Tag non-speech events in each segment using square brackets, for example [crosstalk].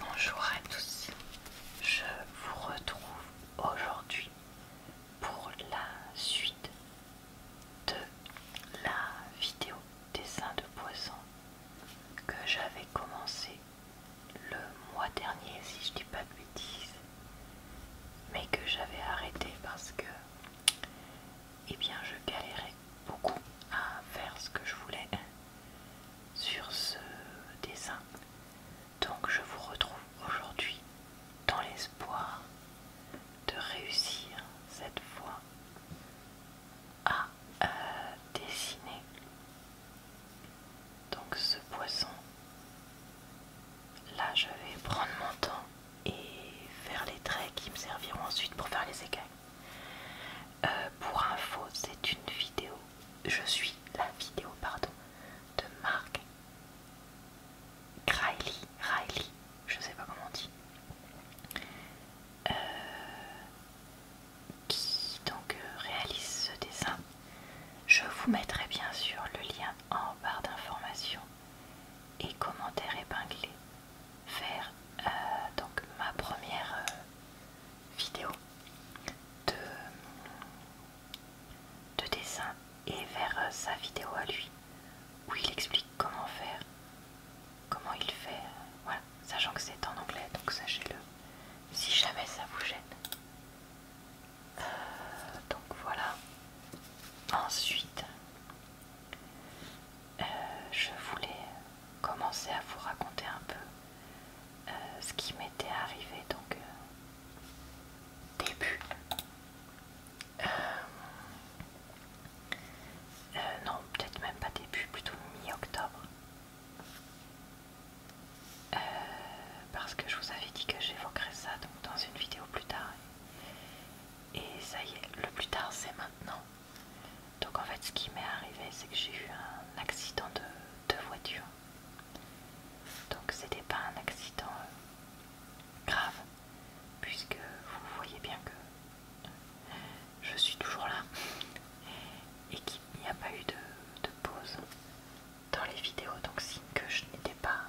Bonjour à tous, je vous retrouve aujourd'hui pour la suite de la vidéo dessin de poisson que j'avais commencé le mois dernier si je dis pas de bêtises mais que j'avais arrêté parce que eh bien je galérais beaucoup à faire ce que je voulais sur ce dessin. Donc je vous retrouve aujourd'hui dans l'espoir de réussir cette fois à euh, dessiner donc ce poisson. Là je vais prendre mon temps et faire les traits qui me serviront ensuite pour faire les écailles. Euh, pour info, c'est une vidéo. Je suis la vidéo, pardon, de Marc Riley, Riley, je sais pas comment on dit, euh, qui donc euh, réalise ce dessin. Je vous mettrai bien sûr le lien en barre d'informations et commentaires épinglés vers donc ma première vidéo de, dessin et vers euh, sa vidéo à lui où il explique comment faire, comment il fait, voilà, sachant que c'est en anglais, donc sachez-le si jamais ça vous gêne. Euh, donc voilà. Ensuite, euh, je voulais commencer à vous raconter un peu euh, ce qui m'était arrivé donc euh, début euh, non peut-être même pas début plutôt mi-octobre parce que je vous avais dit que j'évoquerais ça donc dans une vidéo plus tard et ça y est le plus tard c'est maintenant donc en fait ce qui m'est arrivé c'est que j'ai eu un accident de, voiture. Donc c'était pas un accident euh, grave puisque vous voyez bien que je suis toujours là [laughs] et qu'il n'y a pas eu de, pause dans les vidéos donc signe que je n'étais pas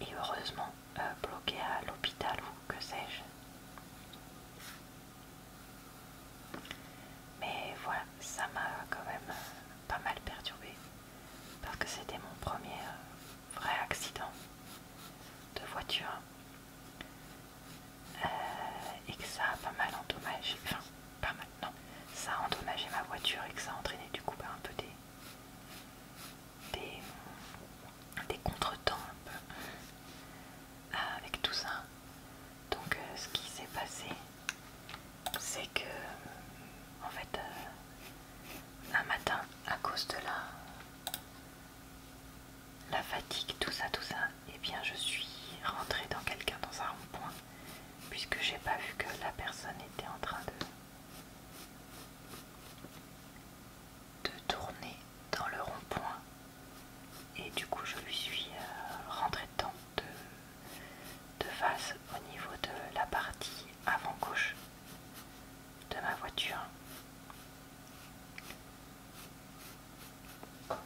et heureusement bloqué euh, bloquée à l'hôpital ou que sais-je mais voilà, ça m'a quand même euh, pas mal perturbé parce que c'était mon premier euh, vrai accident de voiture euh, et que ça a pas mal endommagé, enfin pas maintenant, ça a endommagé ma voiture et que ça a entraîné du coup bah, un peu des, des, des contretemps un peu euh, avec tout ça. Donc euh, ce qui s'est passé, c'est que en fait euh, un matin, à cause de la, la fatigue, tout ça, tout ça, et eh bien je suis rentrée dans quelqu'un dans un rond-point, puisque j'ai pas vu que la personne était en train de tourner dans le rond-point et du coup je lui suis euh, rentré dedans de, de face au niveau de la partie avant gauche de ma voiture. Bon,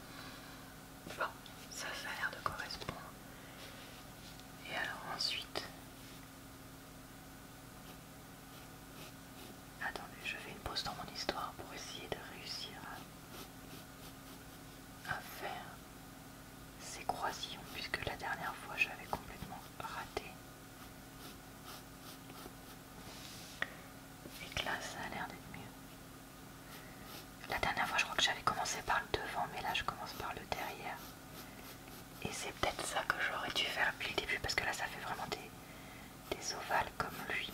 ça, ça a l'air de correspondre. Et alors ensuite... Attendez, je fais une pause dans mon histoire pour essayer de réussir à à faire ces croisillons puisque la dernière fois j'avais complètement raté et que là ça a l'air d'être mieux la dernière fois je crois que j'avais commencé par le devant mais là je commence par le derrière et c'est peut-être ça que j'aurais dû faire depuis le début parce que là ça fait vraiment des, des ovales comme lui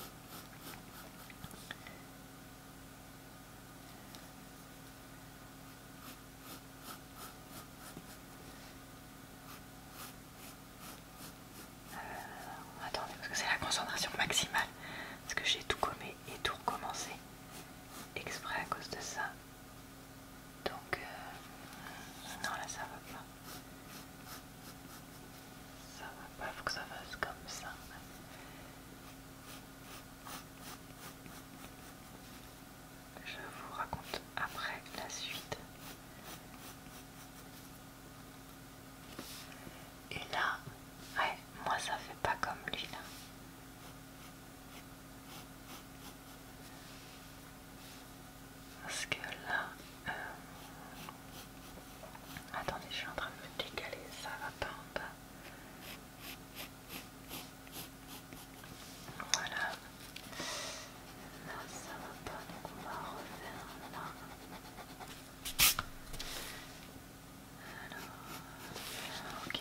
euh, attendez, parce que c'est la concentration maximale. Parce que j'ai tout commé et tout recommencé exprès à cause de ça. Donc, euh, non, là ça va pas. Ça va pas, faut que ça fasse comme ça. Je vous raconte après la suite. Et là, ouais, moi ça fait pas comme lui là. Parce que là, euh, attendez, je suis en train de me décaler, ça va pas en bas. Voilà. Là, ça va pas, donc on va refaire là. Alors, ok.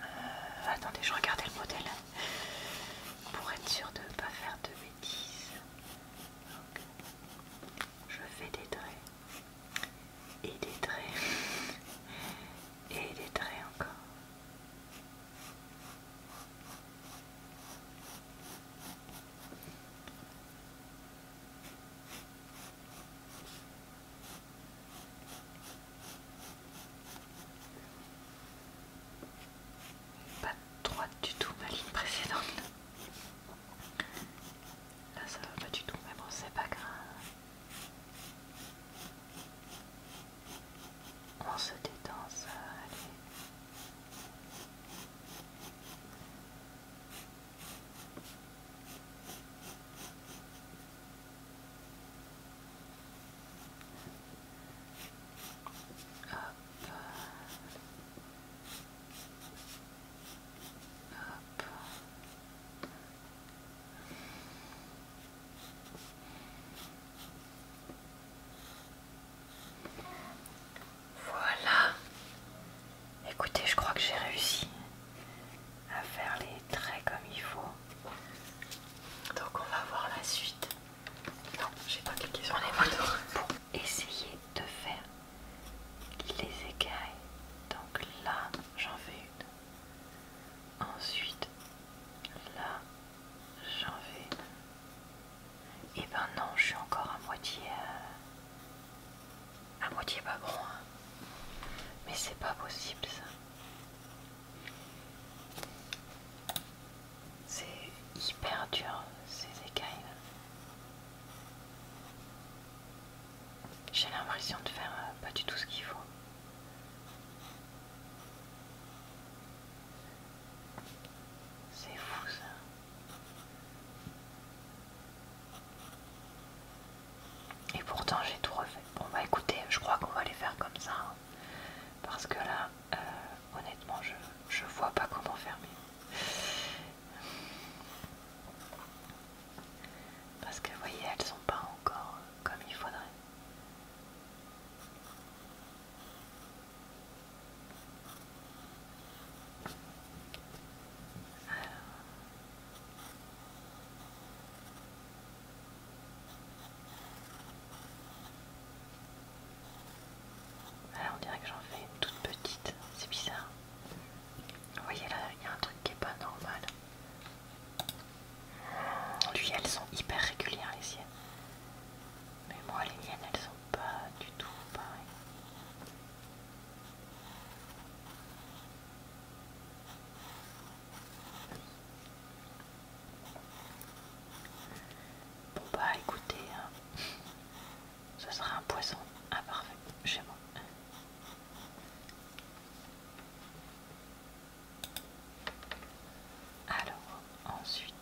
Euh, attendez, je regardais le modèle pour être sûr de ne pas faire de bêtises. je fais des traits et des traits et des traits encore. Pas droite du tout ma ligne précédente. Là ça va pas du tout, mais bon c'est pas grave. On se détend ça, allez. Voilà. Écoutez, je crois que j'ai réussi à faire les Très comme il faut. Donc on va voir la suite. Non, j'ai pas cliqué sur les Pour essayer de faire les écailles. Donc là, j'en fais une. Ensuite, là, j'en fais une. Et eh ben non, je suis encore à moitié... Euh, à moitié pas bon. Hein. Mais c'est pas possible ça. C'est hyper dur ces écailles. J'ai l'impression de faire euh, pas du tout ce qu'il faut. C'est fou ça. Et pourtant j'ai tout refait. Bon bah écoutez, je crois qu'on va les faire comme ça. Hein. parce que là, euh, honnêtement, je, je vois pas comment fermer. Parce que vous voyez, elles sont pas encore euh, comme il faudrait. Alors on dirait que j'en fais une toute petite, c'est bizarre. Vous voyez là, il y a un truc qui n'est pas normal. Lui, elles sont hyper régulières les siennes. Mais moi, les miennes, elles sont pas du tout pareilles. Bon bah écoutez, hein, ce sera un poisson imparfait chez moi. Alors, ensuite...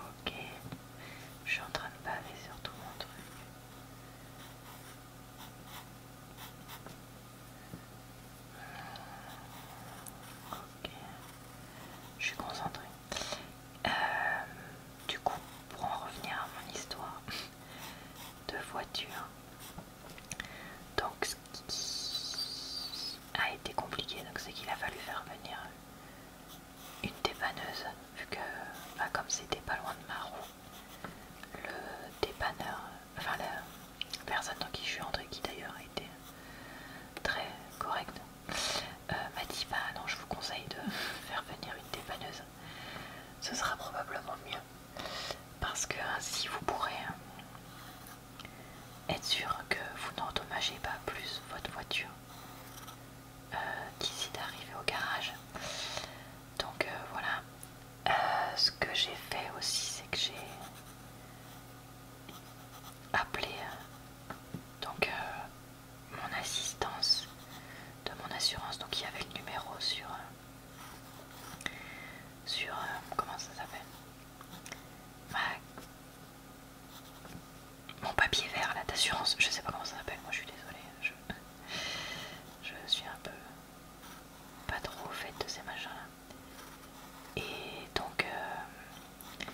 Ok, je suis en train de baver sur tout mon truc je suis concentrée. Euh, du coup, pour en revenir à mon histoire de voiture, donc ce qui a été compliqué, donc c'est qu'il a fallu faire venir une dépanneuse, vu que, bah, comme c'était pas loin de ma roue, le dépanneur enfin la personne dans qui je suis entrée, qui d'ailleurs a été très correcte euh, m'a dit bah non je vous conseille de [laughs] faire venir une dépanneuse ce sera probablement mieux parce que ainsi hein, vous pourrez euh, être sûr que vous n'endommagez pas plus votre voiture euh, d'ici d'arriver au garage donc voilà ce que j'ai fait aussi c'est que j'ai appeler euh, donc euh, mon assistance de mon assurance. Donc il y avait le numéro sur euh, sur comment ça s'appelle mon papier vert là d'assurance. Je sais pas comment ça s'appelle. Moi je suis désolée. Je... je suis un peu pas trop au fait de ces machins là. Et donc, euh,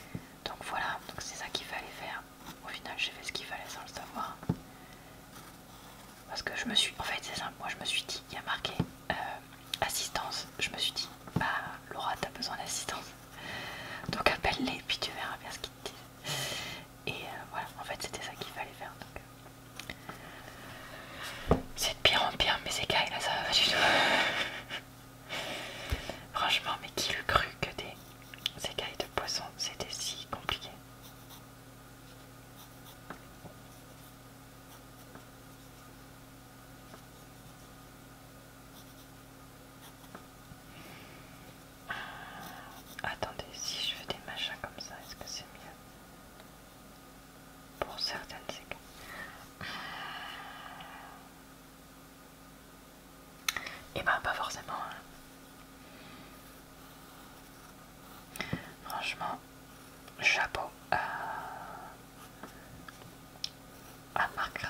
donc voilà, donc c'est ça qu'il fallait faire. Au final, j'ai fait ce qu'il fallait sans le savoir. Parce que je me suis. En fait, c'est simple, moi je me suis dit, il y a marqué euh, assistance. Je me suis dit, bah Laura, t'as besoin d'assistance. Donc appelle-les, puis tu verras bien ce qu'ils te disent. Et euh, voilà, en fait, c'était ça qu'il fallait faire pire en pire, mes écailles là, ça va pas du tout. Franchement, mais qui le cru que des écailles de poisson c'était si compliqué? Ah, attendez, si je fais des machins comme ça, est-ce que c'est mieux pour certaines séquences. Et euh, eh ben, pas forcément. Hein. Franchement, chapeau à, à Marc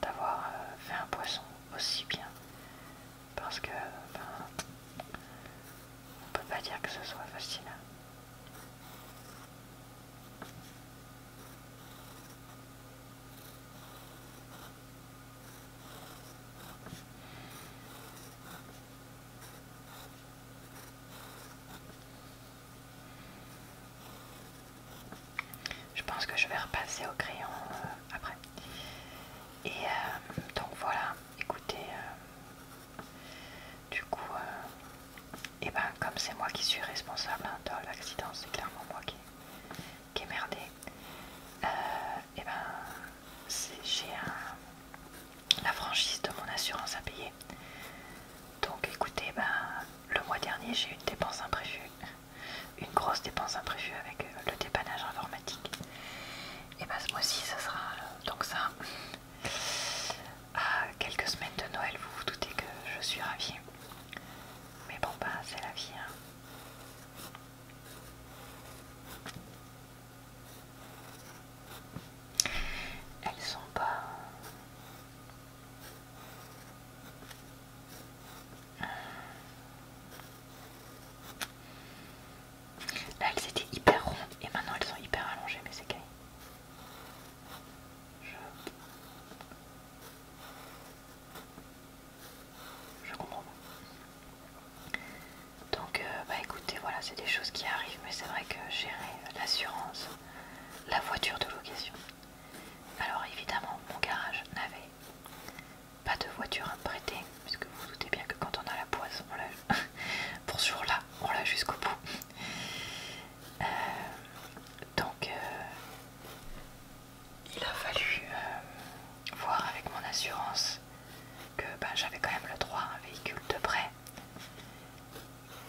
d'avoir euh, fait un poisson aussi bien. Parce que, ben, on peut pas dire que ce soit facile. Hein. Je pense que je vais repasser au crayon euh, après. Et euh, donc voilà, écoutez, euh, du coup, euh, eh ben, comme c'est moi qui suis responsable hein, de l'accident, c'est clairement moi qui, ai merdé. Euh, eh ben, j'ai la franchise de mon assurance à payer. Donc écoutez, ben, le mois dernier j'ai eu une dépense imprévue, une grosse dépense imprévue avec euh, le dépannage informatique. Et ben ce mois-ci ça sera donc ça à ah, quelques semaines de Noël, vous vous doutez que je suis ravie. Mais bon, pas, bah, c'est la vie. Hein. Elles sont pas. Hein. Là, elles étaient hyper rondes et maintenant elles sont hyper allongées, mais c'est gay. Je, comprends pas. Donc, euh, bah écoutez, voilà, c'est des choses qui arrivent, mais c'est vrai que gérer l'assurance, la voiture de location. Alors, évidemment, mon garage n'avait pas de voiture à me prêter, puisque vous vous doutez bien que quand on a la poisse, on l'a [laughs] pour ce jour-là, on l'a jusqu'au bout. Euh, donc, euh, il a fallu euh, voir avec mon assurance que ben, j'avais quand même le droit à un véhicule de prêt.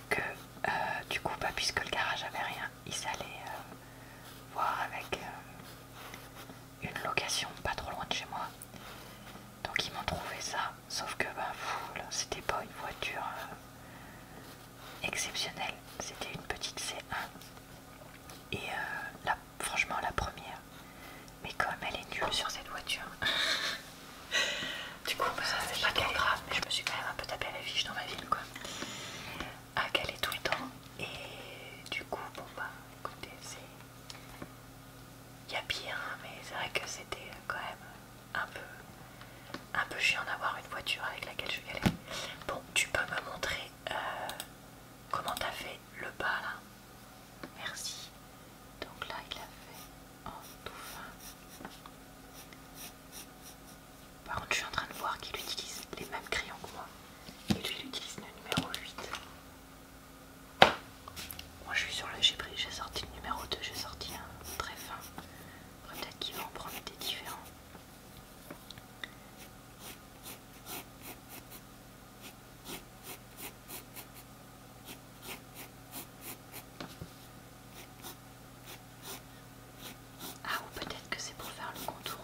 Que du coup, ben, puisque le garage avait rien, ils allaient voir avec une location pas trop loin de chez moi. Donc, ils m'ont trouvé ça. Sauf que ben, c'était pas une voiture exceptionnelle. C'était une petite C1. Et euh, franchement, la première. Mais comme elle est nulle sur cette voiture, [laughs] du coup, bah, ça c'est pas grave. Mais je me suis quand même un peu tapé à la fiche dans ma ville, quoi. À caler ah, tout le temps. Et du coup, bon bah, écoutez, c'est. Il y a pire, hein, mais c'est vrai que c'était euh, quand même un peu, un peu chiant d'avoir une voiture avec laquelle je vais aller Bon, tu peux me montrer euh, comment t'as fait le bas là Merci. Donc là, il l'a fait en tout fin. Par contre, je suis en train de voir qu'il utilise les mêmes crayons que moi. Et lui, il utilise le numéro 8. Moi je suis sur le. J'ai j'ai sorti le numéro 2, j'ai sorti un très fin. Peut-être qu'il va en prendre des différents. Ah ou peut-être que c'est pour faire le contour.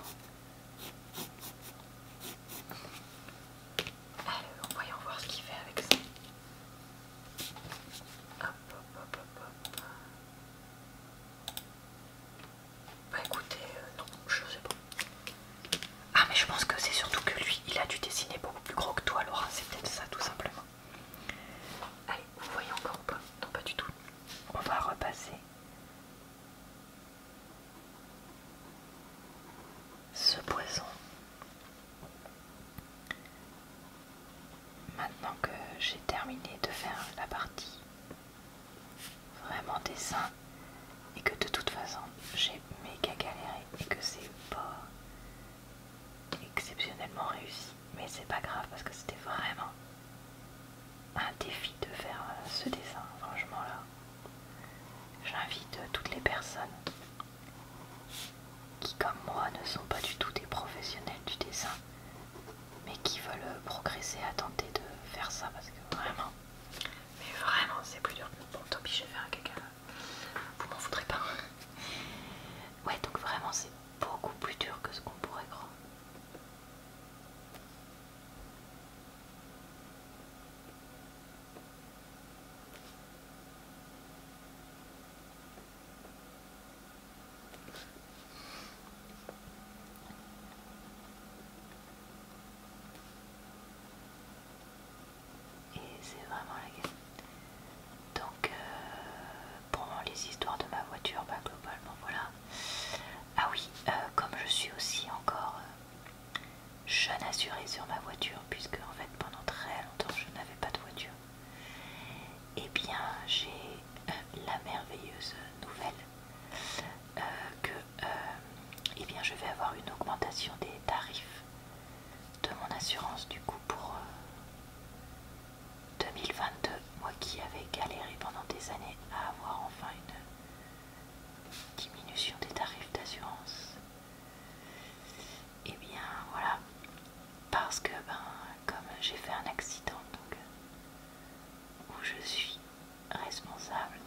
Allez, voyons voir ce qu'il fait avec ça. Bah, écoutez, euh, non, je sais pas. Ah mais je pense que c'est surtout que lui, il a dû dessiner beaucoup plus gros que toi, Laura. C'est peut-être ça, tout simplement. Allez, vous voyez encore ou pas Non, pas du tout. On va repasser. Ce poison. Maintenant que j'ai terminé de faire la partie vraiment dessin et que de toute façon j'ai méga galéré et que c'est pas exceptionnellement réussi, mais c'est pas grave parce que c'était vraiment un défi de faire euh, ce dessin, franchement là. J'invite toutes les personnes qui comme moi ne sont pas du tout des professionnels du dessin, mais qui veulent progresser à tenter de faire ça parce que vraiment... Mais vraiment c'est plus dur que... Bon tant je vais faire un caca, vous m'en voudrez pas. Ouais donc vraiment c'est beaucoup plus dur que ce qu'on pourrait croire. Et c'est vraiment la game. Donc, euh, pour les histoires de ma voiture, bah, globalement voilà. Ah oui, euh, comme je suis aussi encore euh, jeune assurée sur ma voiture, puisque en fait pendant très longtemps je n'avais pas de voiture. Eh bien, j'ai euh, la merveilleuse nouvelle euh, que euh, eh bien, je vais avoir une augmentation des tarifs de mon assurance du coup pour 2022. Moi qui avais galéré pendant des années à avoir enfin une diminution des tarifs d'assurance et eh bien voilà parce que ben comme j'ai fait un accident donc où je suis responsable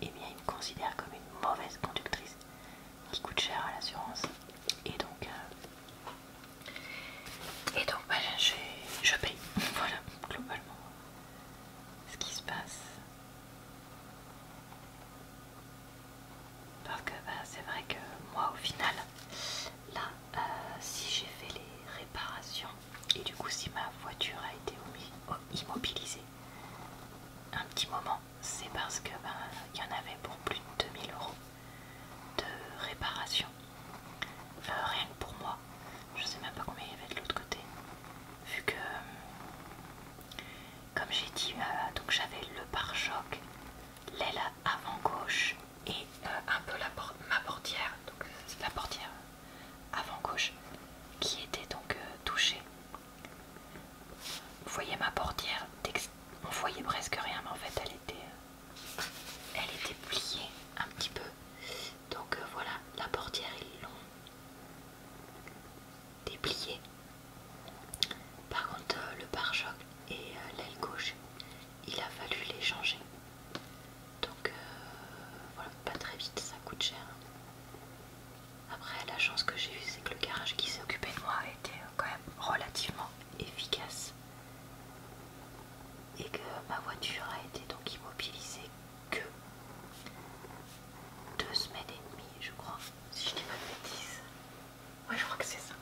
et eh bien il me considère comme une mauvaise conductrice qui coûte cher à l'assurance et donc euh, et donc ben, je, je paye [laughs] voilà globalement ce qui se passe parce que bah, c'est vrai que moi au final, là, euh, si j'ai fait les réparations et du coup si ma voiture a été immobilisée un petit moment, c'est parce que bah, y en avait pour plus de 2000 euros de réparation. Euh, rien que pour moi, je sais même pas combien il y avait de l'autre côté. Vu que, comme j'ai dit, bah, donc j'avais le pare-choc, l'aile avant gauche et euh, un peu la ma portière, donc la portière avant gauche qui était donc euh, touchée. Vous voyez ma portière, on voyait presque rien, mais en fait elle était, euh, elle était pliée un petit peu. Donc voilà, la portière ils l'ont dépliée par contre, euh, le pare-choc et euh, l'aile gauche, il a fallu les changer. Donc, euh, voilà, pas très vite, ça coûte cher. Après, la chance que j'ai eue, c'est que le garage qui s'est occupé de moi était quand même relativement efficace. Et que ma voiture a été donc immobilisée que deux semaines et demie, je crois, si je dis pas de bêtises. Ouais, je crois que c'est ça.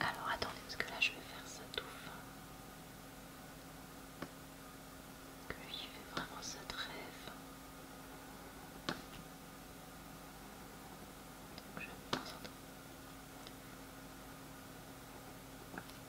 Alors attendez, parce que là je vais faire ça tout fin. Que lui fait vraiment sa trêve. Donc je vais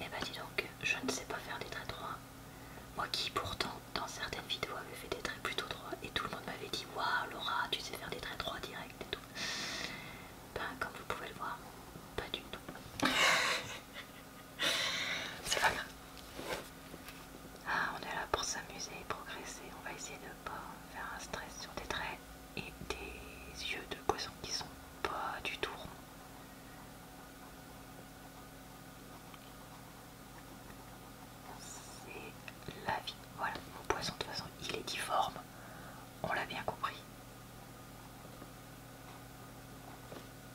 Et eh bah ben, dis donc, je ne sais pas faire des traits droits. Moi qui pourtant dans certaines vidéos avais fait des traits plutôt droits et tout le monde m'avait dit Waouh Laura tu sais faire des traits droits directs et tout. Ben comme vous pouvez le voir, pas du tout. [laughs] C'est pas grave. Ah on est là pour s'amuser et progresser. On va essayer de ne pas faire un stress sur des traits et des yeux de poisson qui sont pas du tout ronds. C'est la vie. Voilà, mon poisson de toute façon, il est difforme. On l'a bien compris.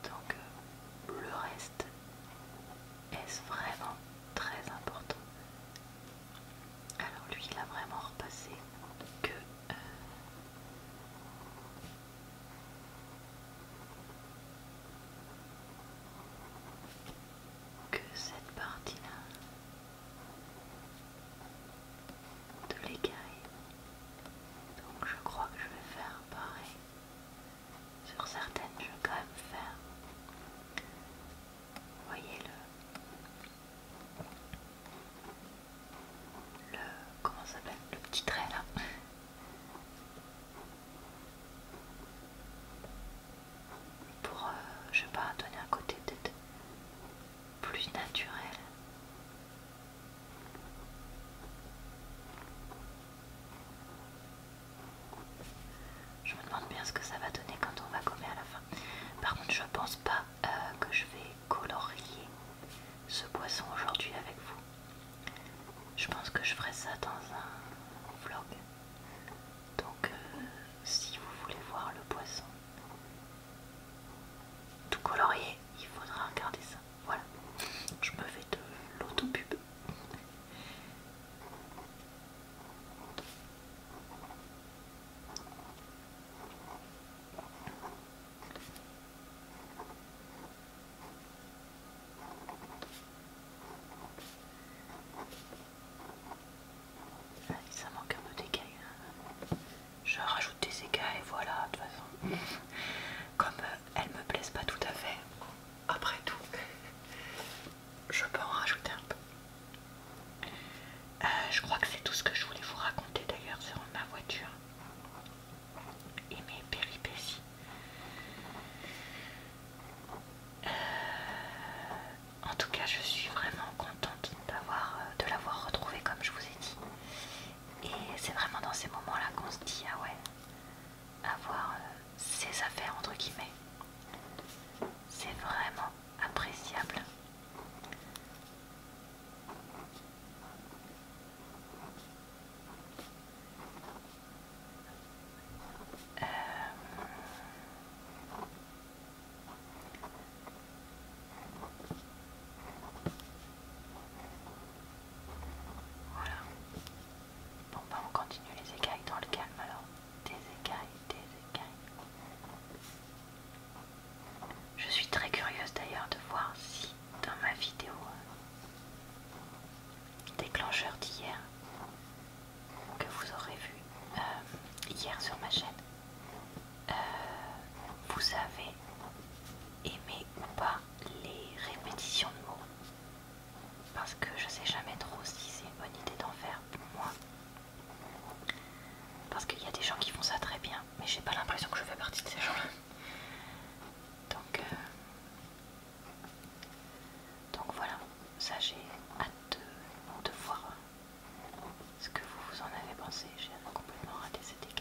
Donc euh, le reste est ce vraiment très important. Alors lui, il a vraiment repassé que... Euh, que cette partie-là de l'écaille. Donc je crois que je vais faire pareil. Sur certaines, je vais quand même faire. Voyez-le le comment ça s'appelle le petit trait là pour euh, je sais pas donner un côté peut-être plus naturel je me demande bien ce que ça va donner quand on va gommer à la fin par contre je pense pas euh, que je vais colorier ce poisson aujourd'hui avec vous. Je pense que je ferai ça dans un vlog. Donc euh, si vous voulez voir le poisson tout colorier il faudra regarder ça. Voilà, je me fais de l'autopub ça manque un peu d'écailles. Hein. Je rajoute des écailles, voilà, de toute façon. [laughs] Comme elle euh, elles me plaisent pas tout à fait, après tout, [laughs] je peux en rajouter un peu. Euh, je crois que c'est tout ce que je voulais vous raconter d'ailleurs sur ma voiture et mes péripéties. Euh, en tout cas, je suis vraiment contente euh, de l'avoir retrouvé comme je vous ai dit. Et c'est vraiment dans ces moments-là qu'on se dit ah ouais, avoir ses euh, affaires entre guillemets, c'est vraiment appréciable. Euh, voilà. Bon ben on continue les écailles dans le calme alors. Des écailles, des écailles. Je suis très curieuse d'ailleurs de voir si dans ma vidéo euh, déclencheur d'hier que vous aurez vu euh, hier sur ma chaîne, euh, vous avez aimé ou pas les répétitions de mots parce que je sais jamais trop si c'est une bonne idée d'en faire pour moi parce qu'il y a des gens qui font ça très bien mais j'ai pas l'impression que je fais partie de ces gens là donc, euh, donc voilà, ça j'ai hâte de, voir ce que vous, en avez pensé. J'ai complètement raté cette écaille.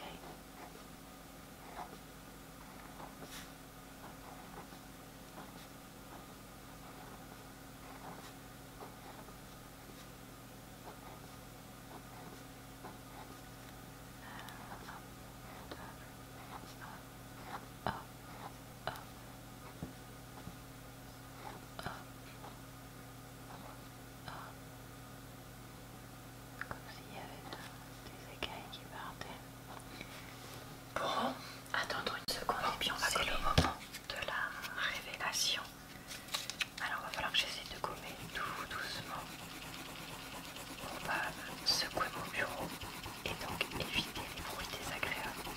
Comme s'il y avait des écailles qui partaient. Bon, attendre une seconde et puis on va C'est au moment de la révélation. Alors il va falloir que j'essaie de gommer tout doucement. On va secouer mon bureau et donc éviter les bruits désagréables.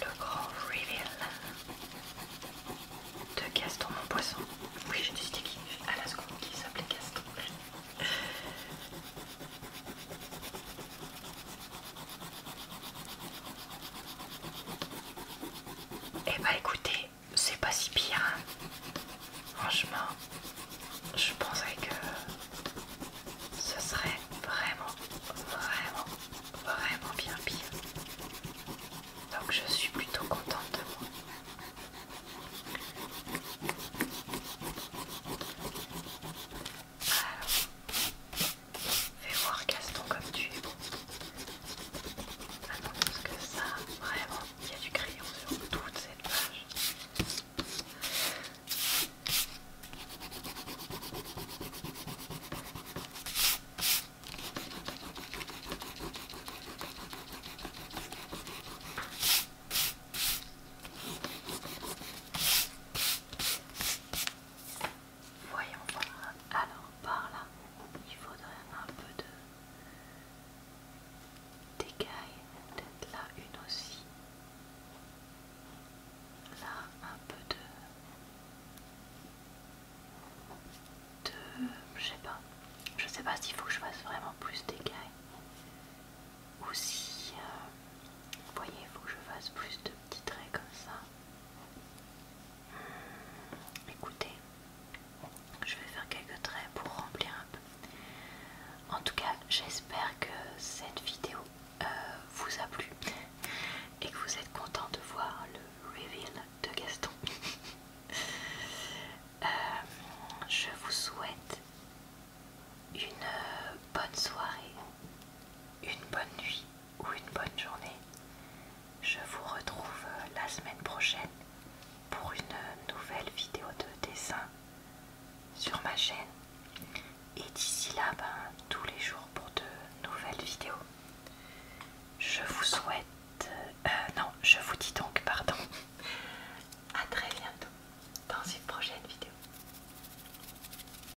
Le grand reveal de Gaston mon poisson. Oui j'ai décidé qui à la seconde qui s'appelait Gaston. Et eh bah ben, écoutez, c'est pas si pire. Hein. Franchement, je pensais que ce serait vraiment, vraiment, vraiment bien pire. Donc je suis plutôt contente de moi. Fais voir Gaston comme tu es bon. Attends, parce que ça, vraiment, il y a du crayon sur toute cette page. Voyons voir. Alors par là, il faudrait un peu de dégâts, Peut-être là une aussi. Là un peu de... De... Je sais pas. Je sais pas s'il faut que je fasse vraiment plus d'écailles. Ou si... Euh, vous voyez, il faut que je fasse plus de petits traits comme ça. Écoutez, je vais faire quelques traits pour remplir un peu. En tout cas, j'espère que cette vidéo euh, vous a plu et que vous êtes content de voir le reveal de Gaston. [laughs] Euh, je vous souhaite une euh, bonne soirée, une bonne nuit ou une bonne journée. Je vous retrouve euh, la semaine prochaine pour une euh, nouvelle vidéo de dessin sur ma chaîne. Et d'ici là, ben, tous les jours pour de nouvelles vidéos. Je vous souhaite... Euh, non, je vous dis donc, [laughs] pardon. à très bientôt dans une prochaine vidéo.